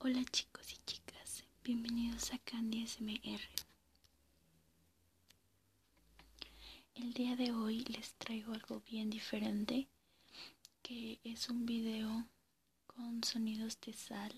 Hola chicos y chicas, bienvenidos a Candy SMR. El día de hoy les traigo algo bien diferente, que es un video con sonidos de sal,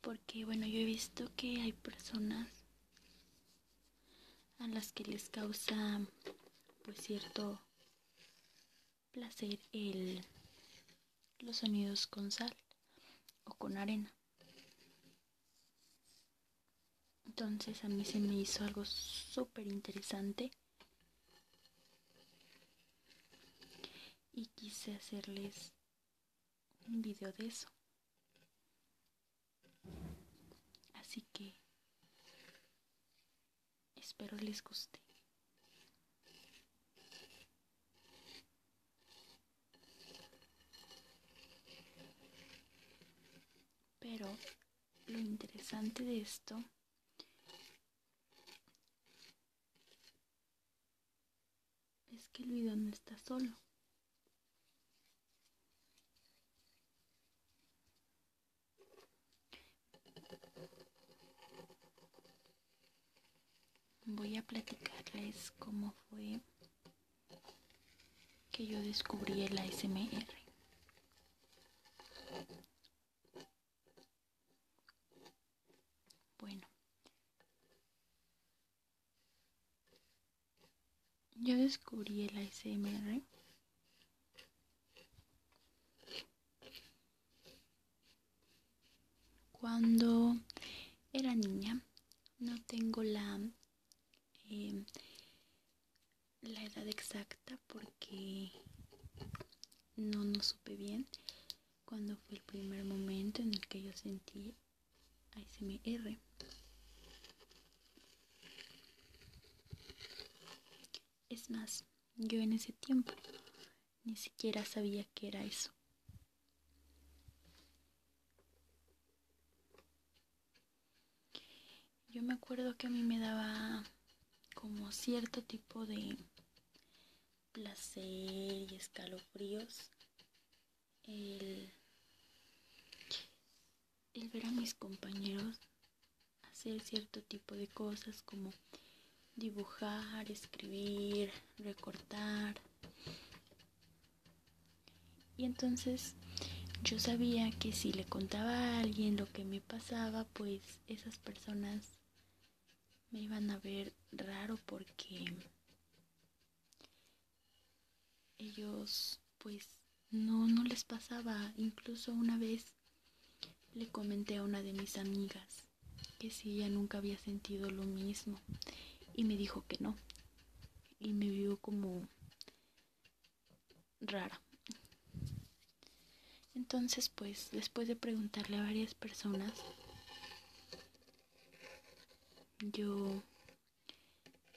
porque bueno, yo he visto que hay personas a las que les causa pues cierto placer el, los sonidos con sal o con arena. Entonces a mí se me hizo algo súper interesante y quise hacerles un video de eso. Así que Espero les guste. Pero lo interesante de esto es que el video no está solo. Voy a platicarles cómo fue que yo descubrí el ASMR. Bueno, yo descubrí el ASMR cuando era niña, no tengo la, em, la edad exacta porque no, no supe bien cuando fue el primer momento en el que yo sentí ASMR. Es más, yo en ese tiempo ni siquiera sabía qué era eso. Yo me acuerdo que a mí me daba como cierto tipo de placer y escalofríos el, el ver a mis compañeros hacer cierto tipo de cosas como dibujar, escribir, recortar. Y entonces yo sabía que si le contaba a alguien lo que me pasaba, pues esas personas me iban a ver raro porque ellos pues no, no les pasaba. Incluso una vez le comenté a una de mis amigas que si ella nunca había sentido lo mismo y me dijo que no. Y me vio como rara. Entonces, pues, después de preguntarle a varias personas, yo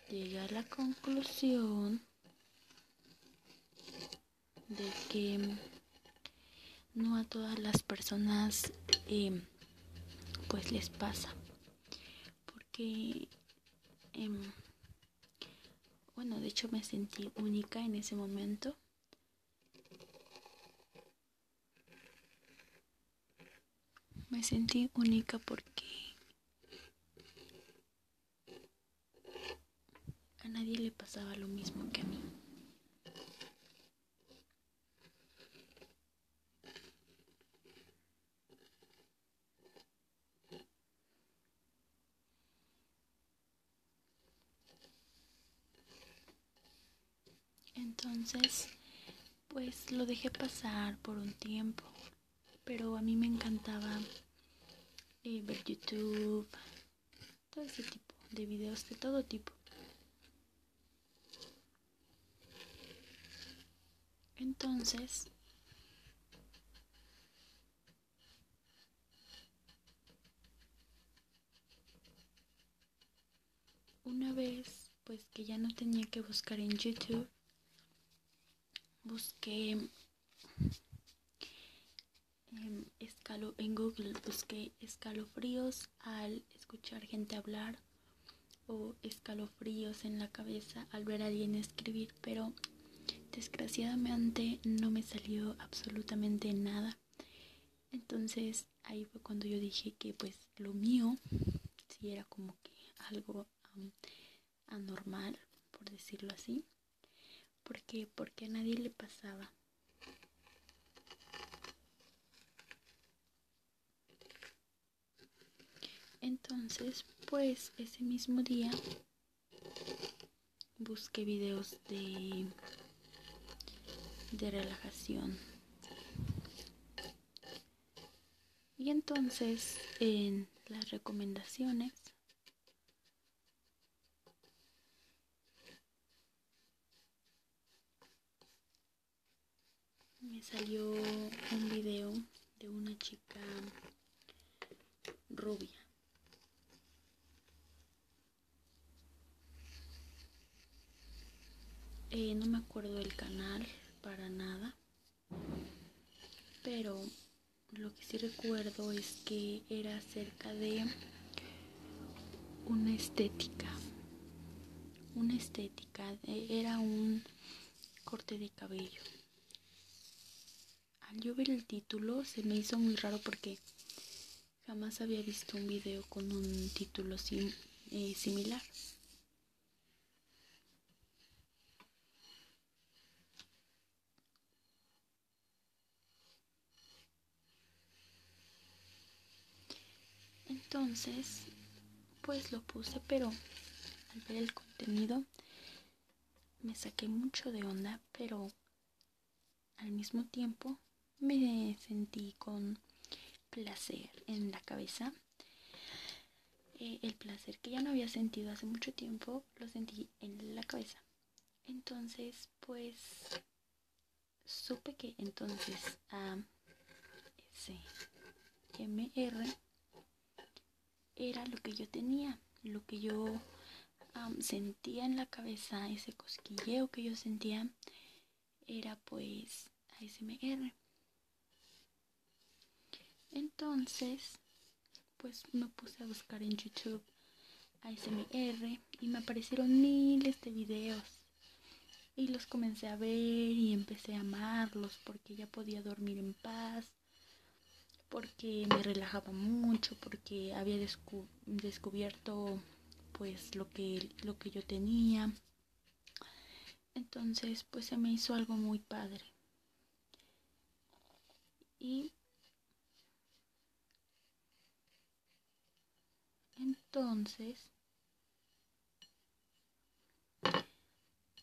llegué a la conclusión de que no a todas las personas em, pues les pasa porque em, bueno de hecho me sentí única en ese momento me sentí única porque a nadie le pasaba lo mismo que a mí. Entonces, pues lo dejé pasar por un tiempo pero a mí me encantaba eh, ver YouTube, todo ese tipo de videos de todo tipo. Entonces, una vez pues que ya no tenía que buscar en YouTube, busqué em, en Google busqué escalofríos al escuchar gente hablar o escalofríos en la cabeza al ver a alguien escribir, pero desgraciadamente no me salió absolutamente nada. Entonces ahí fue cuando yo dije que pues lo mío si era como que algo anormal, por decirlo así. porque Porque a nadie le pasaba. Entonces, pues ese mismo día busqué videos de, de relajación y entonces en las recomendaciones me salió un video de una chica rubia eh, no me acuerdo del canal para nada. Pero lo que sí recuerdo es que era acerca de una estética. Una estética. E, era un corte de cabello. Al yo ver el título se me hizo muy raro porque jamás había visto un video con un título eh, similar. Entonces, pues lo puse, pero al ver el contenido me saqué mucho de onda, pero al mismo tiempo me sentí con placer en la cabeza. Eh, el placer que ya no había sentido hace mucho tiempo lo sentí en la cabeza. Entonces, pues supe que entonces a ese MR era lo que yo tenía, lo que yo sentía en la cabeza, ese cosquilleo que yo sentía era pues ASMR. Entonces, pues me puse a buscar en YouTube ASMR y me aparecieron miles de videos. Y los comencé a ver y empecé a amarlos porque ya podía dormir en paz, porque me relajaba mucho, porque había descubierto pues lo que, lo que yo tenía entonces pues se me hizo algo muy padre y entonces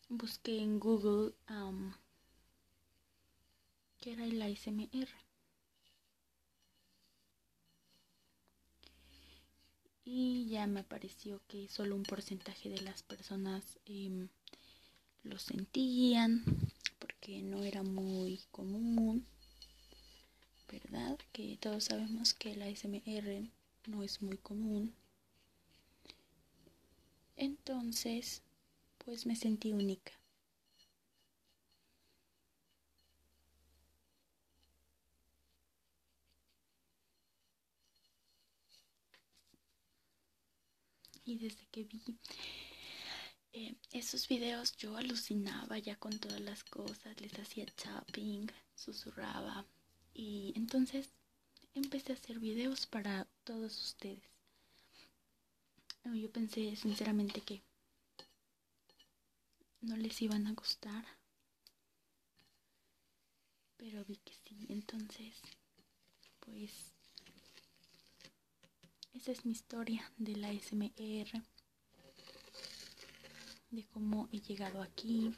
busqué en Google que era el ASMR y ya me pareció que solo un porcentaje de las personas em, lo sentían, porque no era muy común, ¿verdad? Que todos sabemos que la SMR no es muy común. Entonces, pues me sentí única. Y desde que vi eh, esos videos yo alucinaba ya con todas las cosas, les hacía tapping, susurraba. Y entonces empecé a hacer videos para todos ustedes. Yo pensé sinceramente que no les iban a gustar. Pero vi que sí, entonces, pues, esa es mi historia de la SMR, de cómo he llegado aquí.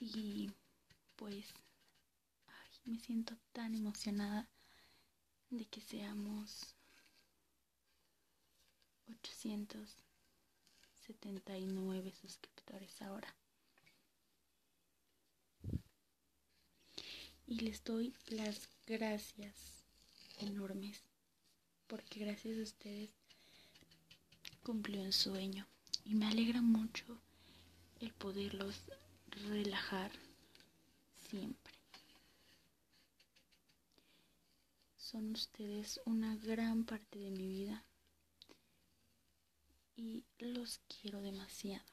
Y pues me siento tan emocionada de que seamos 879 suscriptores ahora. Y les doy las gracias enormes porque gracias a ustedes cumplió un sueño y me alegra mucho el poderlos relajar siempre. Son ustedes una gran parte de mi vida y los quiero demasiado.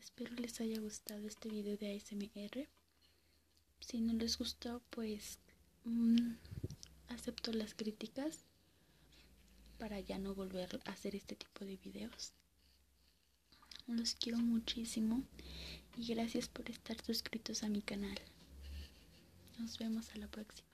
Espero les haya gustado este video de ASMR. Si no les gustó, pues mm, acepto las críticas para ya no volver a hacer este tipo de videos. Los quiero muchísimo y gracias por estar suscritos a mi canal. Nos vemos a la próxima.